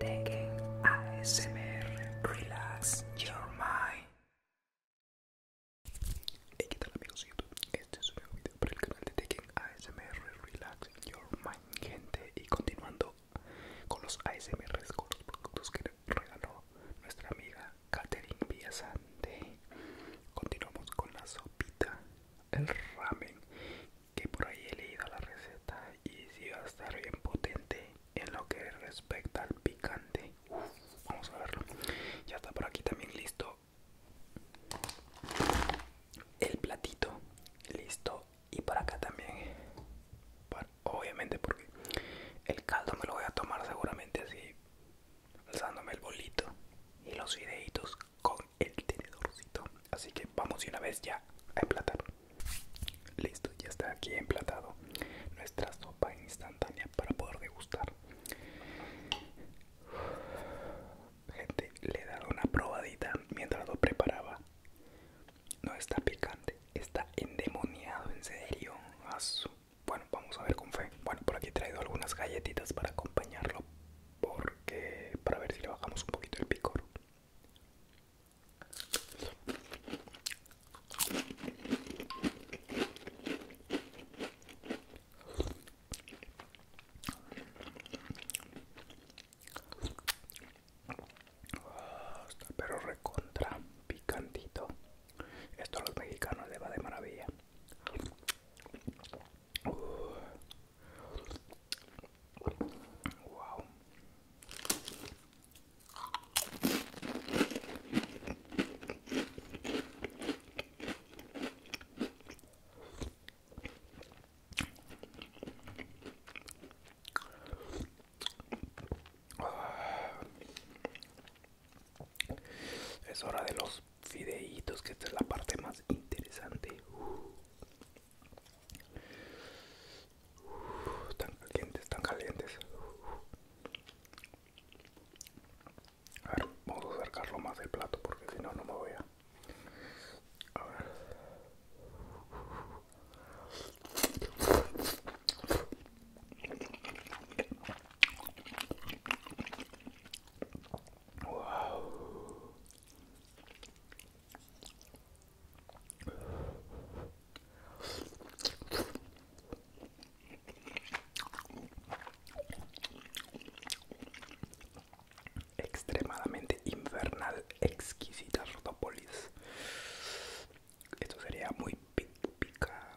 Tekken ASMR Relax Your Mind. Hey, ¿qué tal amigos de YouTube? Este es un nuevo video para el canal de Tekken ASMR Relax Your Mind, gente. Y continuando con los ASMRs, con los productos que regaló nuestra amiga Katherine Villasante. Continuamos con la sopita, el ramen que por ahí he leído la receta y si va a estar bien potente en lo que respecta al picante vamos a verlo ya está por aquí también listo el platito listo y por acá también obviamente porque el caldo me lo voy a tomar seguramente así alzándome el bolito y los fideitos con el tenedorcito. Así que vamos de una vez ya a emplatar. Listo, ya está aquí emplatado nuestra sopa instantánea para poder degustar. Gente, le he dado una probadita mientras lo preparaba. No está picante, está endemoniado, en serio. Ah, bueno, vamos a ver con fe. Bueno, por aquí he traído algunas galletitas para acompañarlo porque para ver si le bajamos un poquito el picor ah, pero recontra picantito esto a los mexicanos le va de maravilla Wow. Es hora de los fideitos, que esta es la parte más interesante. están uh, calientes, están calientes. A ver, vamos a acercarlo más del plato porque si no, no me voy a... A ver. Wow. Extremadamente infernal, exquisita rotópolis. Esto sería muy pica,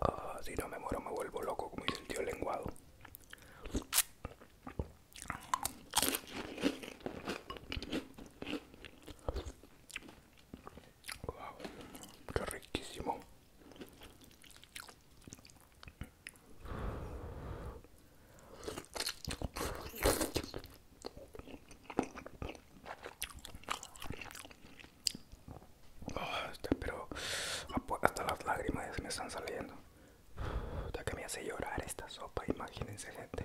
Ah, si no me muero me vuelvo loco como mi sentido lenguado. qué riquísimo. Ah, este, pero hasta las lágrimas se me están saliendo. Ya que me hace llorar esta sopa, imagínense gente.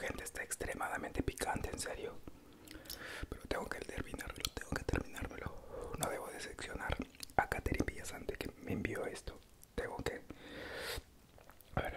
gente, está extremadamente picante, en serio. Pero tengo que terminarlo, tengo que terminármelo. No debo decepcionar a Caterine Villasante que me envió esto. Tengo que. A ver.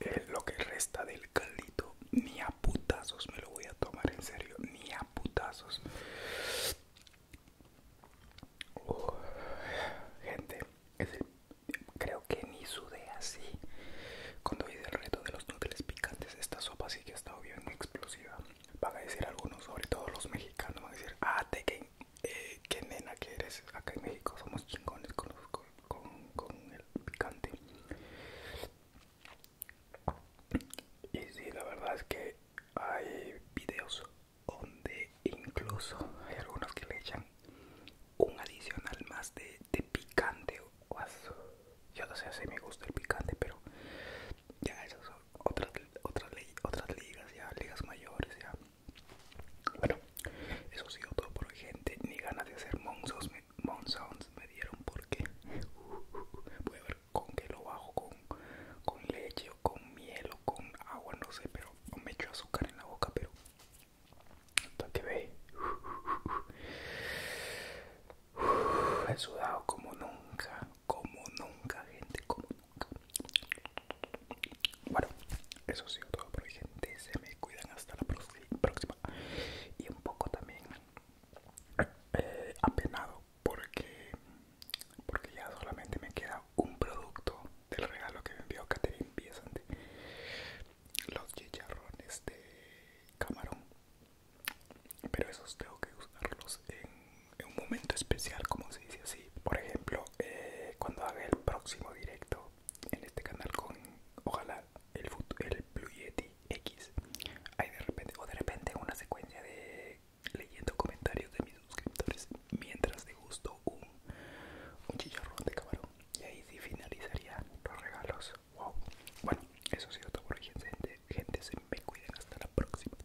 Es eh, lo que resta del caldito, ni a putazos me lo voy a tomar en serio, ni a gente, creo que ni sudé así cuando hice el reto de los núcleos picantes. Esta sopa sí que ha estado bien explosiva. Van a decir algunos, sobre todo los mexicanos, van a decir, ah, te que, eh, qué nena que eres. Acá en México somos chingones con, con, con el picante. Y sí, la verdad es que hay videos donde incluso hay algunos que le echan un adicional más de, de picante o Yo no sé si me gusta el picante, pero ya esas son otras, otras, otras ligas, ya ligas mayores, ya. Bueno, eso sí sido todo por gente. Ni ganas de hacer monzones me, dieron porque uh, uh, uh, voy a ver con qué lo bajo, con, leche o con miel o con agua, no sé, pero me echó azúcar en la boca, pero hasta que ve he sudado como nunca, como nunca, gente, como nunca. Bueno, eso ha sido todo por hoy, gente. Se me cuidan hasta la próxima. Y un poco también eh, apenado porque, porque ya solamente me queda un producto del regalo que me envió Catherine Biesante los chicharrones de camarón pero esos tengo que usarlos en, un momento especial como se dice así por ejemplo eh, cuando haga el próximo directo en este canal con ojalá el, el Blue Yeti X hay de repente o de repente una secuencia de leyendo comentarios de mis suscriptores mientras degusto un, un chicharrón de camarón. Y ahí sí finalizaría los regalos. Wow. Bueno, eso ha sido todo por hoy, gente. se me cuiden. Hasta la próxima.